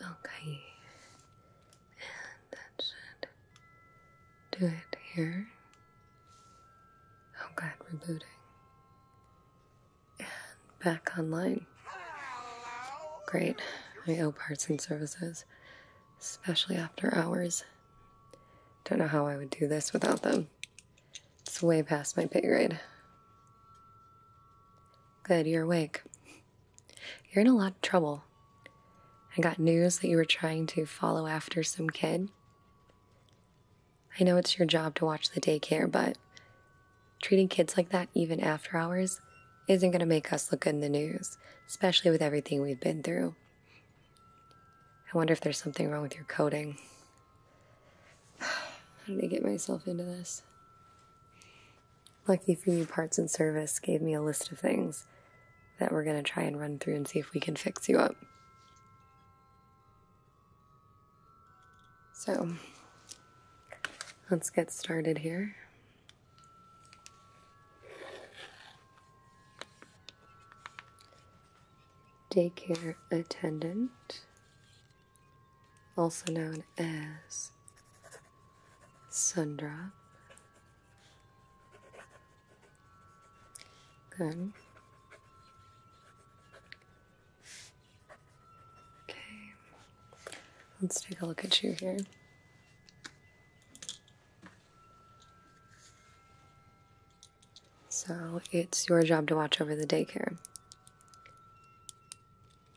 Okay, and that should do it here. Oh god, rebooting. And back online. Great. I owe parts and services, especially after hours. Don't know how I would do this without them. It's way past my pay grade. Good, you're awake. You're in a lot of trouble. I got news that you were trying to follow after some kid. I know it's your job to watch the daycare, but treating kids like that even after hours isn't going to make us look good in the news, especially with everything we've been through. I wonder if there's something wrong with your coding. How did I get myself into this? Lucky for you, parts and service gave me a list of things that we're going to try and run through and see if we can fix you up. So, let's get started here. Daycare attendant, also known as Sundra. Good. Okay. Let's take a look at you here. So it's your job to watch over the daycare.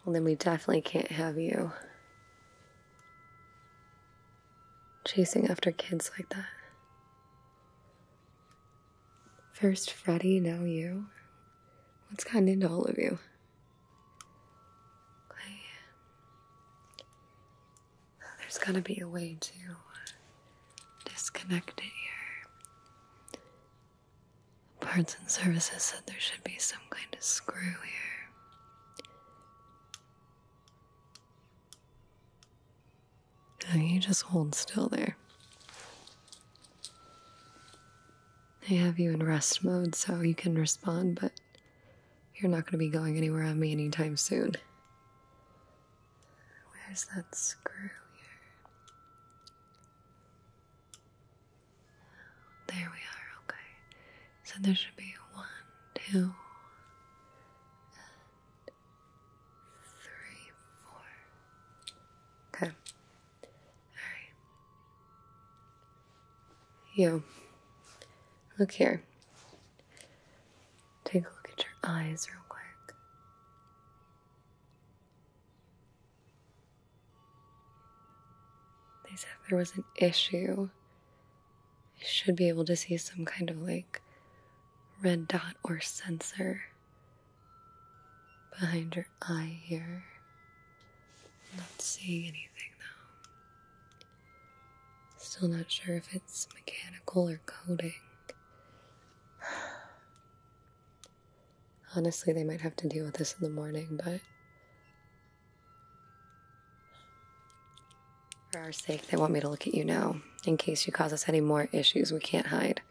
Well, then we definitely can't have you chasing after kids like that. First Freddy, now you. What's gotten into all of you? There's gotta be a way to disconnect it here. Parts and services said there should be some kind of screw here. Oh, you just hold still there. I have you in rest mode so you can respond, but you're not going to be going anywhere on me anytime soon. Where's that screw here? There we are, okay. So there should be one, two, three, four. Okay. Alright. You. Look here. Take a look at your eyes real quick. They said there was an issue, I should be able to see some kind of like red dot or sensor behind your eye here. I'm not seeing anything though. Still not sure if it's mechanical or coding. Honestly, they might have to deal with this in the morning, but for our sake, they want me to look at you now, in case you cause us any more issues we can't hide.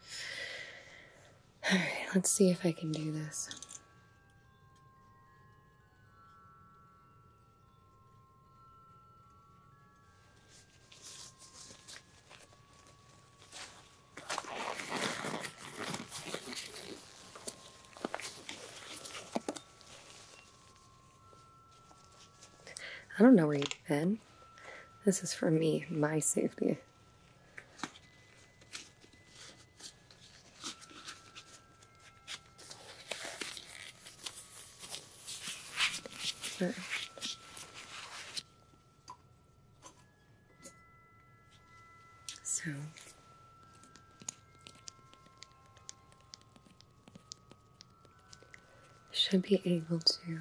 Alright, let's see if I can do this. I don't know where you've been. This is for me, my safety. So should be able to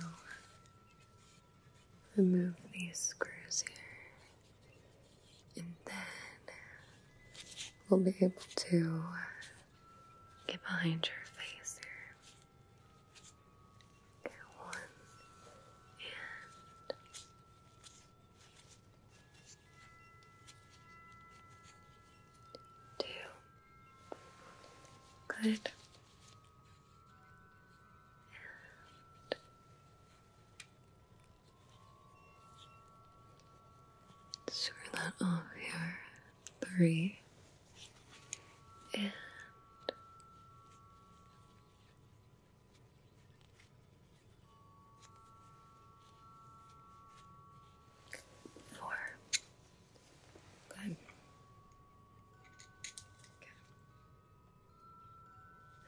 remove these screws here, and then we'll be able to get behind your face here. one and two. Good. And swirl that off your three and Four Good. Okay.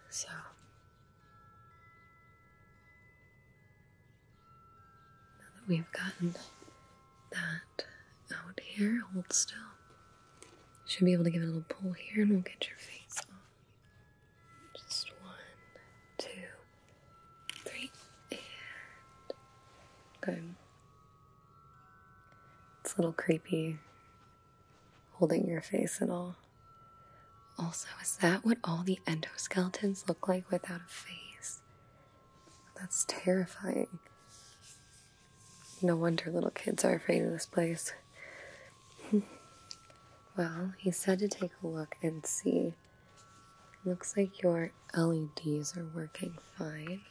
So. Now that we've gotten that out here, hold still. Should be able to give a little pull here and we'll get your face on. Just one, two, three, and. Good. It's a little creepy holding your face and all. Also, is that what all the endoskeletons look like without a face? That's terrifying. No wonder little kids are afraid of this place. well, he said to take a look and see. Looks like your LEDs are working fine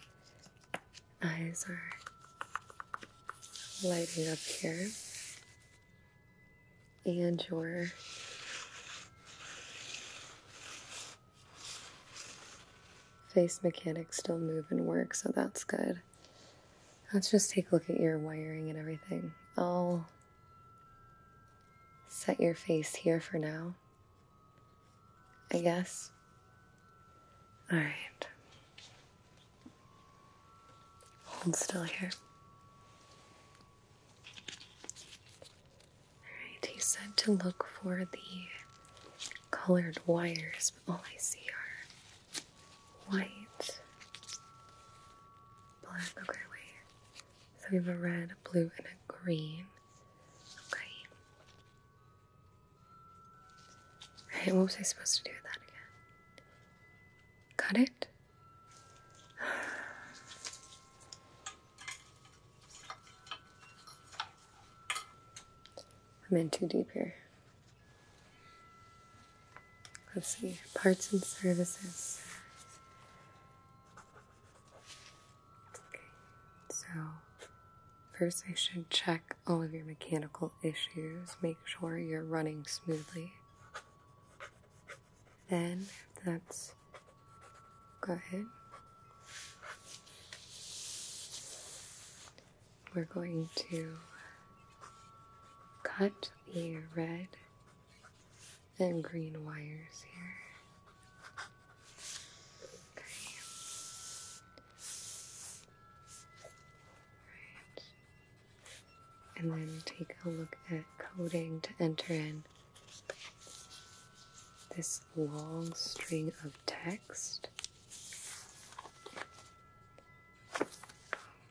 eyes are lighting up here, and your face mechanics still move and work, so that's good. Let's just take a look at your wiring and everything. I'll set your face here for now. I guess. All right. Hold still here. Alright, he said to look for the colored wires, but all I see are white, black, okay, wait. So we have a red, a blue, and a green. Okay. Right, what was I supposed to do with that again? Cut it? I'm in too deep here. Let's see, parts and services. Okay, so first I should check all of your mechanical issues, make sure you're running smoothly. Then, if that's good, we're going to cut the red and green wires here. And then take a look at coding to enter in this long string of text.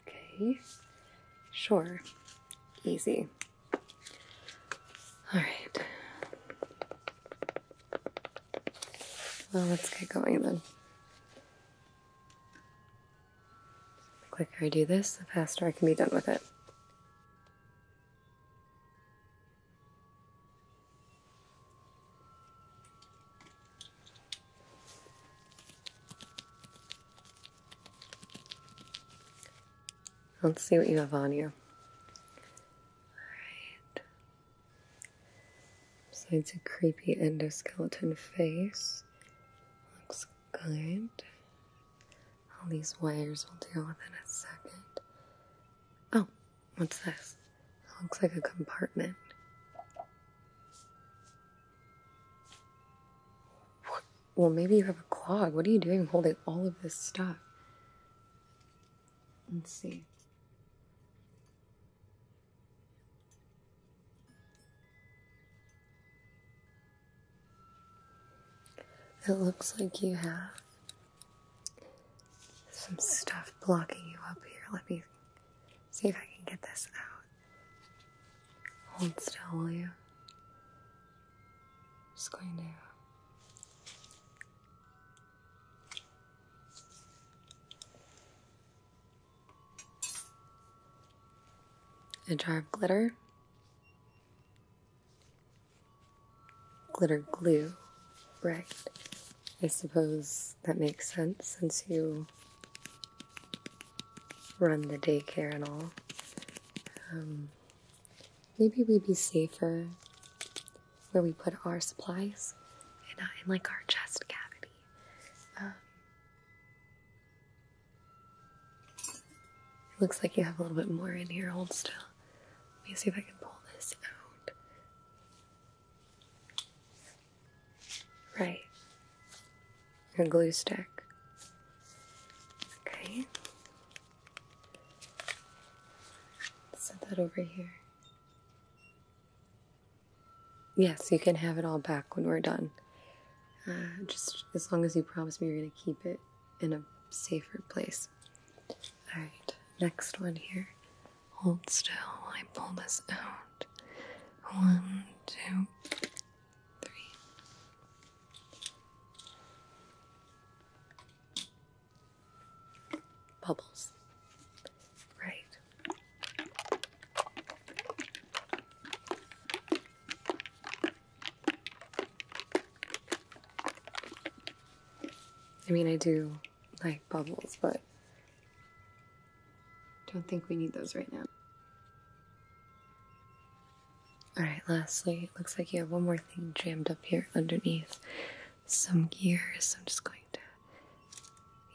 Okay, sure, easy. All right. Well, let's get going then. The quicker I do this, the faster I can be done with it. Let's see what you have on you. Alright. Besides a creepy endoskeleton face. Looks good. All these wires will deal within a second. Oh, what's this? It looks like a compartment. Well, maybe you have a clog. What are you doing holding all of this stuff? Let's see. It looks like you have some stuff blocking you up here. Let me see if I can get this out. Hold still, will you? just going to a jar of glitter, glitter glue, right? I suppose that makes sense since you run the daycare and all. Um, maybe we'd be safer where we put our supplies and, uh, in like our chest cavity. Um, it looks like you have a little bit more in here. Hold still. Let me see if I can pull this out. Right. Your glue stick. Okay. Set that over here. Yes, you can have it all back when we're done. Uh, just as long as you promise me you're going to keep it in a safer place. All right, next one here. Hold still while I pull this out. One, two, three. Bubbles. Right. I mean, I do like bubbles, but don't think we need those right now. Alright, lastly, looks like you have one more thing jammed up here underneath some gears. I'm just going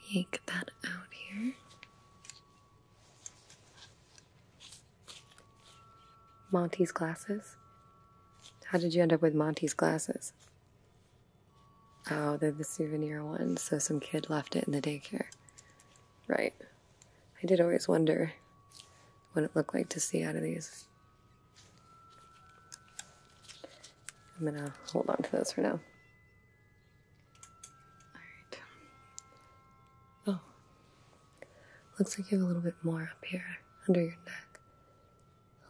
yank that out here. Monty's glasses? How did you end up with Monty's glasses? Oh, they're the souvenir ones, so some kid left it in the daycare. Right. I did always wonder what it looked like to see out of these. I'm going to hold on to those for now. Alright. Oh. Looks like you have a little bit more up here under your neck.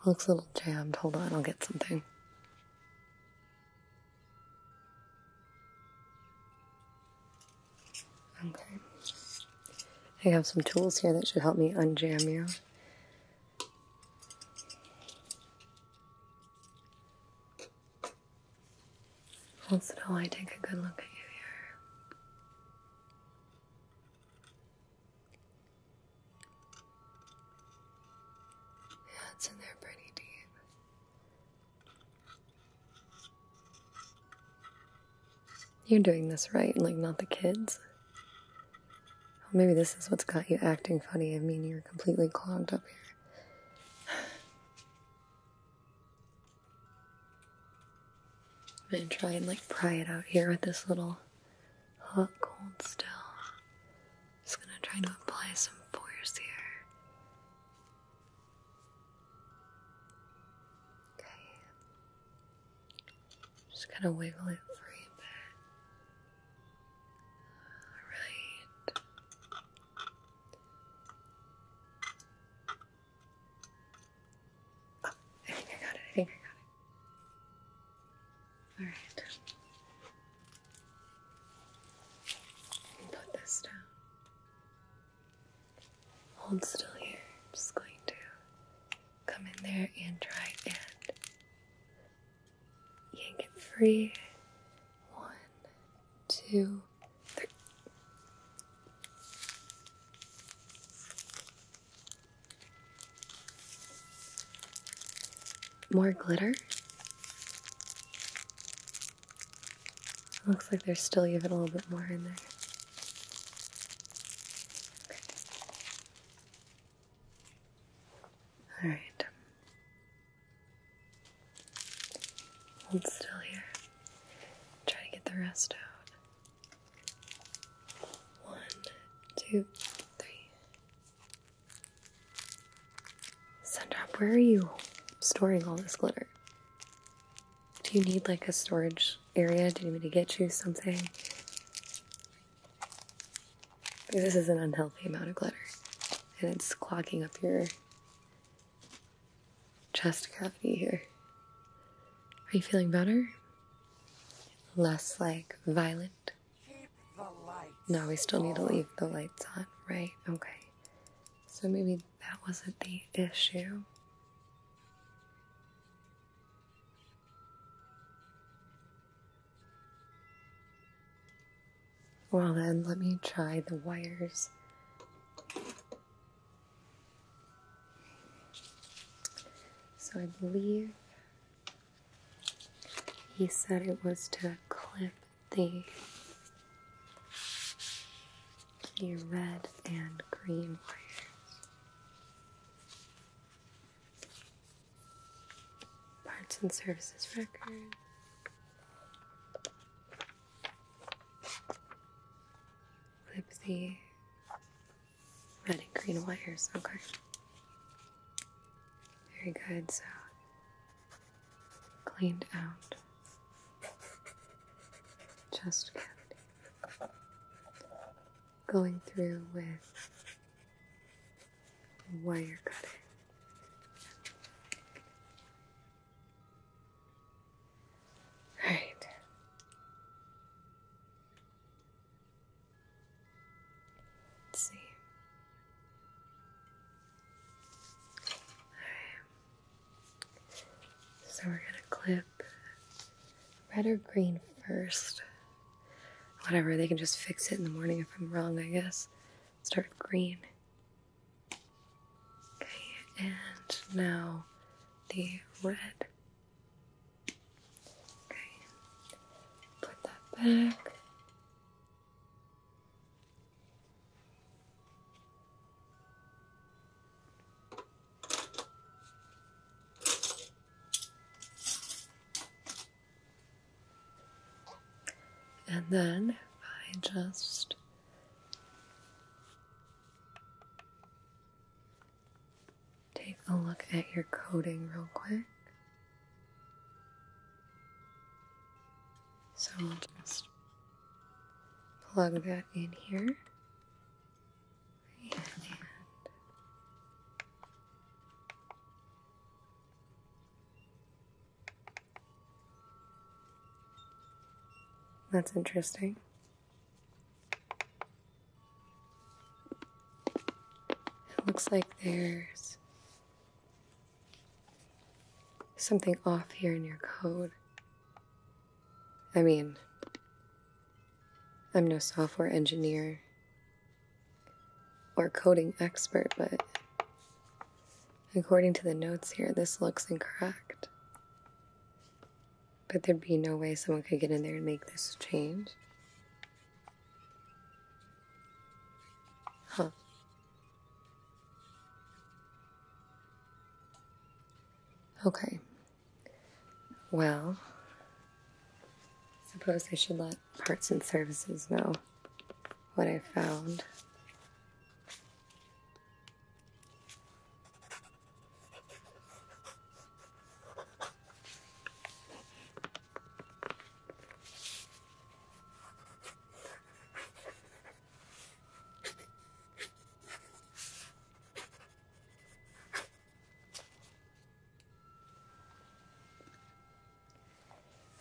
Looks a little jammed. Hold on, I'll get something. Okay. I have some tools here that should help me unjam you. Once in a while I take a good look at you here. it's in there pretty deep. You're doing this right, like not the kids. Maybe this is what's got you acting funny. I mean, you're completely clogged up here. I'm gonna try and like pry it out here with this little hook, hold still. Just gonna try to apply some force here. Okay. Just gonna wiggle it free a bit. Alright. I think I got it. I think I got it. Alright. Put this down. Hold still here. I'm just going to come in there and try and you can get free. One, two, three. More glitter? Looks like there's still even a little bit more in there. All right. Hold still here. Try to get the rest out. One, two, three. Sundrop, where are you storing all this glitter? Do you need like a storage area? Do you need me to get you something? This is an unhealthy amount of glitter, and it's clogging up your chest cavity here. Are you feeling better? Less like violent? No, we still need to leave the lights on, right? Okay. So maybe that wasn't the issue. Well, then, let me try the wires. So I believe he said it was to clip the, the red and green wires. Parts and services record. Clip the red and green wires, okay. Very good, so cleaned out Just Going through with wire cutting. Right. see. Right. So we're going to clip red or green first. Whatever, they can just fix it in the morning if I'm wrong, I guess. Start with green. Okay, and now the red. Okay, put that back. And then I just take a look at your coding real quick. So I'll just plug that in here. That's interesting. It looks like there's something off here in your code. I mean, I'm no software engineer, or coding expert, but according to the notes here, this looks incorrect. But there'd be no way someone could get in there and make this change. Huh. Okay. Well, suppose I should let parts and services know what I found.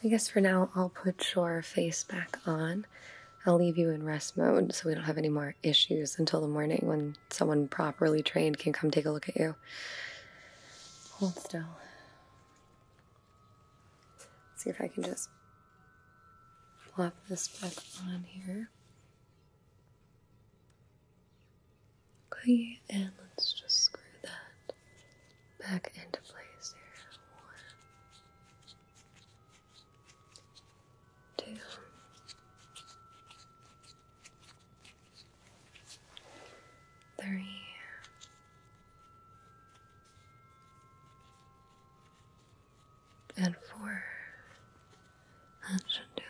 I guess for now I'll put your face back on. I'll leave you in rest mode so we don't have any more issues until the morning when someone properly trained can come take a look at you. Hold still. see if I can just flop this back on here. Okay, and let's just screw that back into place here. One, and four. That should here.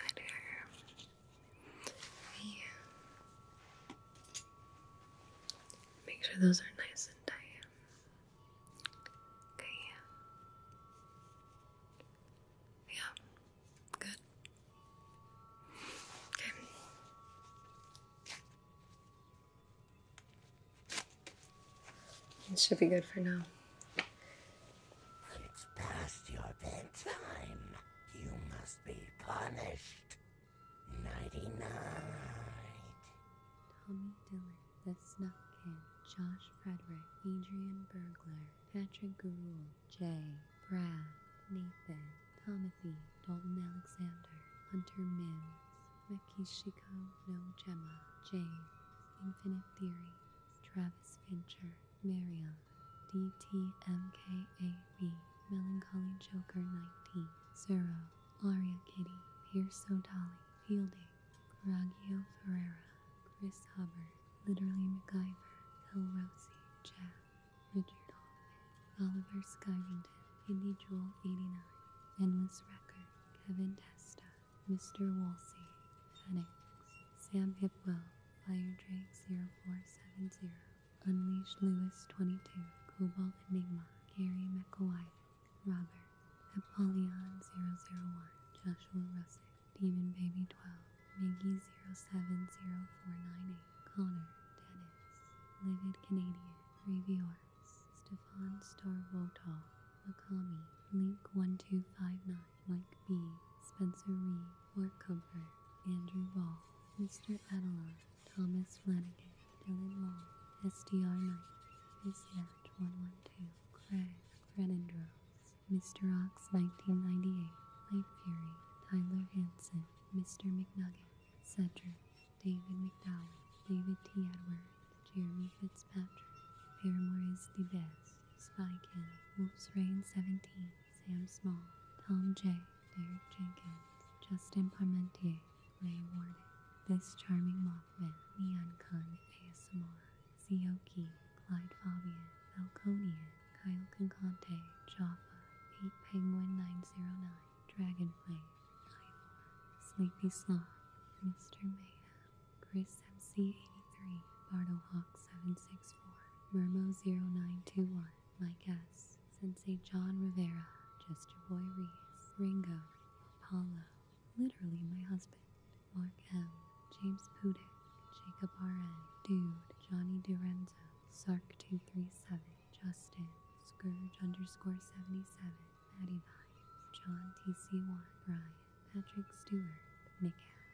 Yeah. Make sure those are nice and tight. Okay, yeah. good. Okay. It should be good for now. It's past your bedtime. You must be punished. Nighty night. Tommy Dillon, The Snuff Kid, Josh Frederick, Adrian Burglar, Patrick Garul, Jay, Brad, Nathan, Timothy, Dalton Alexander, Hunter Mims, Makishiko No Gemma, James, Infinite Theory, Travis Fincher, Marion, D T M K A. Melancholy Joker 19, Zero, Aria Kitty, Pierce O'Dolly, Fielding, Raggio Ferrera, Chris Hubbard, Literally MacGyver, Phil Rosie, Jack, Richard Hoffman, Oliver Skyrenden, Indy Jewel 89, Endless Record, Kevin Testa, Mr. Wolsey, Phoenix, Sam Hipwell, Fire Drake 0470, Unleash Lewis 22, Cobalt Enigma, Gary McElwife, Robert, Apollyon 001, Joshua Russick, Demon Baby 12, Miggy 070498, Connor, Dennis, Livid Canadian, Reviewers, Stefan Starvotov, Makami, Link1259, Mike B, Spencer Reed, Mark Comfort, Andrew Ball, Mr. Adelon, Thomas Flanagan, Dylan Long, SDR Knight, Miss 112, Craig, Renandros, Mr. Ox 1998, Light Fury, Tyler Hanson, Mr. McNugget, Cedric, David McDowell, David T. Edward, Jeremy Fitzpatrick, Paramore is the best, Spy Kill, Wolf's Reign 17, Sam Small, Tom J. Derek Jenkins, Justin Parmentier, Ray Ward. This Charming Mothman, Neon Khan ASMR, Zioki, Clyde Fabian, Falconian, Kyle Concante, Jaffa, 8 Penguin 909, Dragonflame, Ivor, Sleepy Sloth, Mr. Mayhem, Chris MC83, Bartle Hawk 764 Murmo0921, my guests, Saint John Rivera, Jester Boy Reese, Ringo, Apollo, literally my husband, Mark M., James Pudick, Jacob R.N., Dude, Johnny DiRenzo, Sark237, Justin, Scourge underscore 77, Maddie Vibes, John TC1, Brian, Patrick Stewart, Nick Ash.